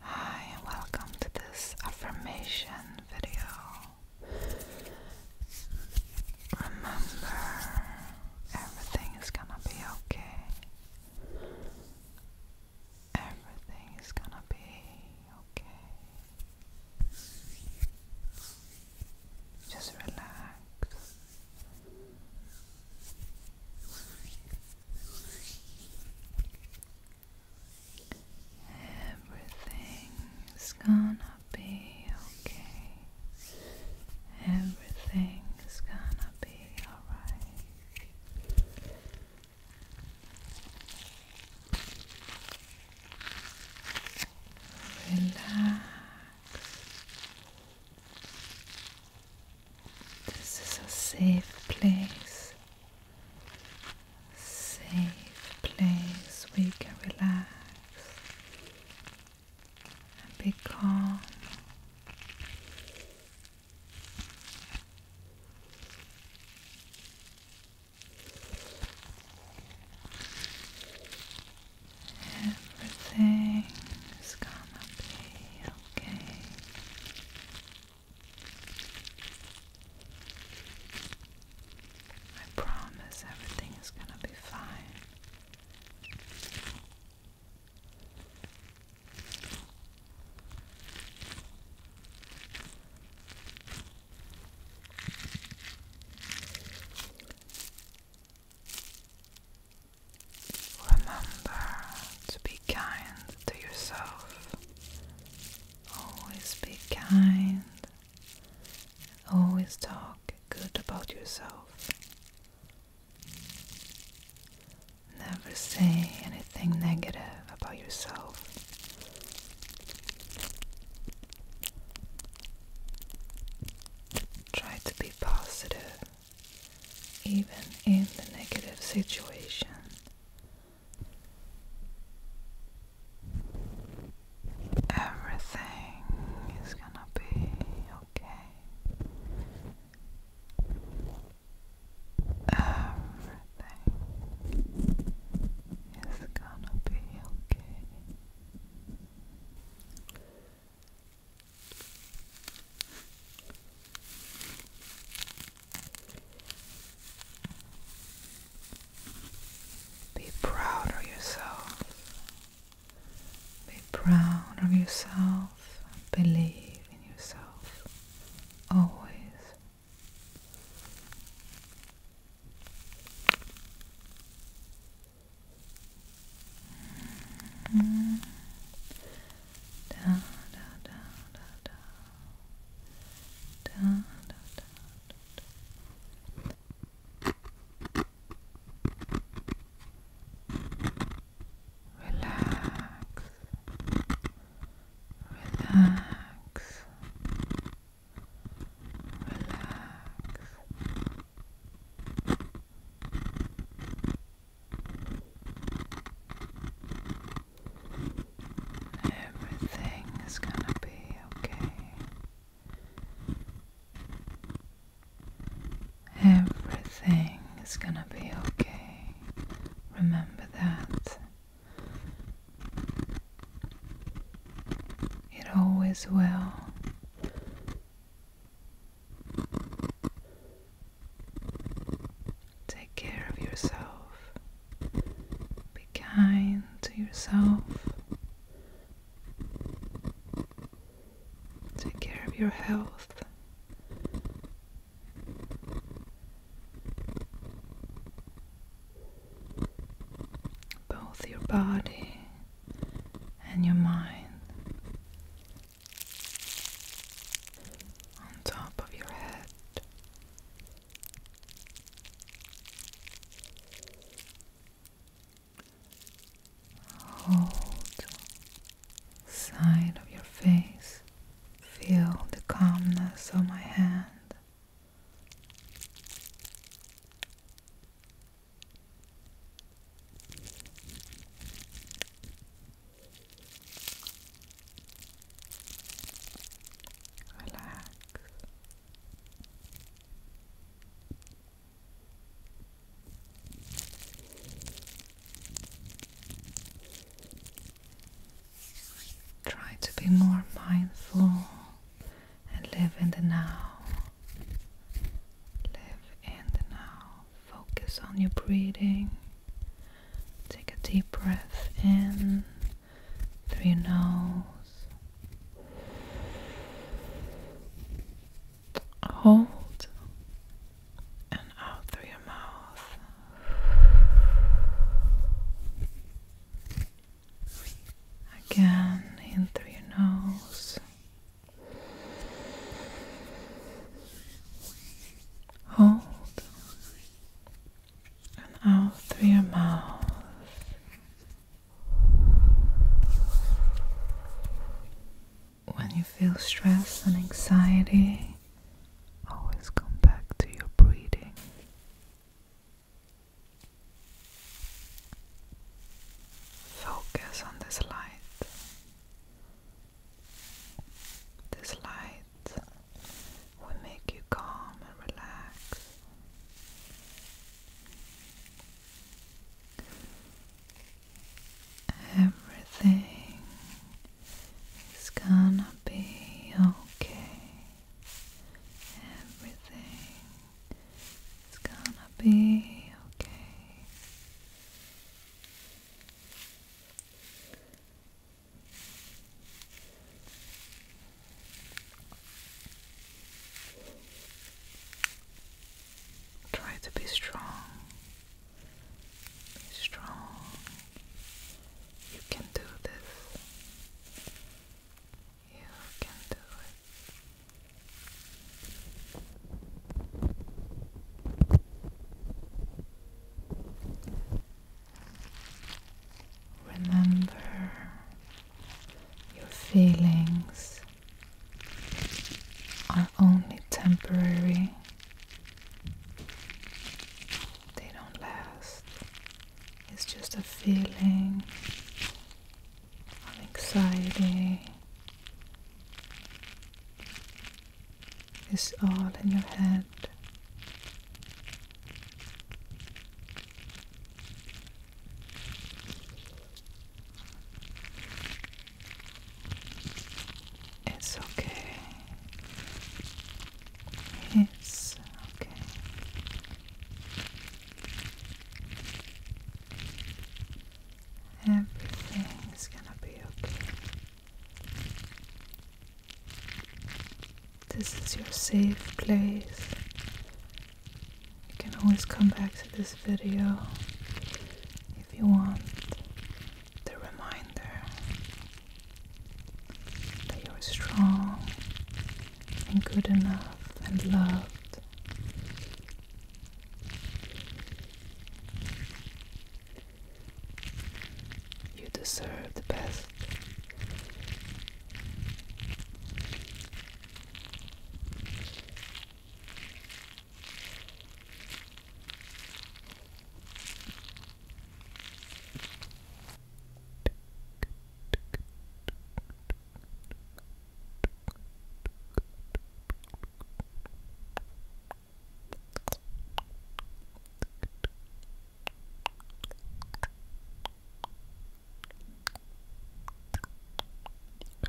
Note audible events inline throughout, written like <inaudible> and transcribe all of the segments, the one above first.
Hi, and welcome to this affirmation video. Remember, everything is gonna be okay. Everything is gonna be okay. Just relax. Everything's gonna be okay. Everything's gonna be alright. Relax. This is a safe place. Safe place we can relax and be calm. Everything is gonna be okay. I promise everything is gonna be fine. Remember to be kind to yourself. Always be kind. Always talk good about yourself. Never say anything negative about yourself. Try to be positive even in the negative situation. Everything is gonna be okay. Everything is gonna be okay. Be proud of yourself. Be proud of yourself. Believe in yourself. Always. Mm-hmm da da da da da da da da Relax, relax, relax. Everything is gonna be okay. Everything is gonna be okay. Remember that. It always will. Take care of yourself. Be kind to yourself. Take care of your health. Both your body and your mind. On top of your head, Hold side of your face. Feel the calmness of my hand. Relax. Try to be more mindful and live in the now. Live in the now. Focus on your breathing. Take a deep breath in through your nose. Hold and out through your mouth. Again, in through your nose. Hold and out through your mouth. When you feel stress and anxiety, always come back to your breathing. Focus on this light. This light will make you calm and relax. Everything is gonna be okay. Everything is gonna be okay. Try to be strong. Be strong. You can do this. You can do it. Remember your feelings are only temporary, they don't last. It's just a feeling of anxiety. It's all in your head. It's okay. It's okay. Everything is gonna be okay. This is your safe place. You can always come back to this video if you want the reminder that you're strong and good enough and loved. You deserve the best. <laughs>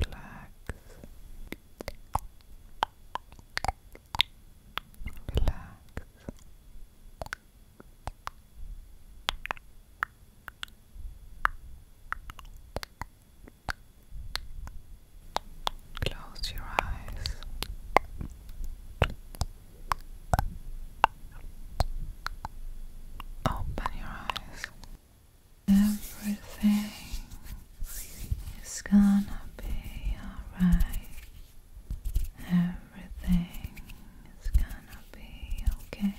Relax. Relax. Close your eyes. Open your eyes. Everything is gonna be alright. Everything is gonna be okay.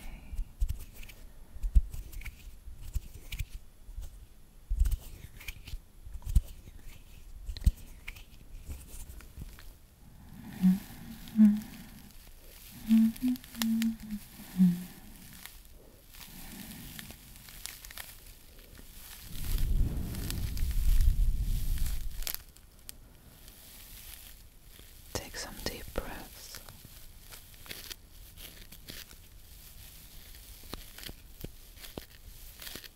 Take some deep breaths.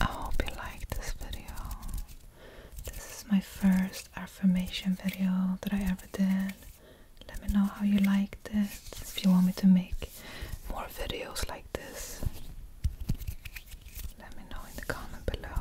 I hope you like this video. This is my first affirmation video that I ever did. Let me know how you liked it, if you want me to make more videos like this. Let me know in the comment below.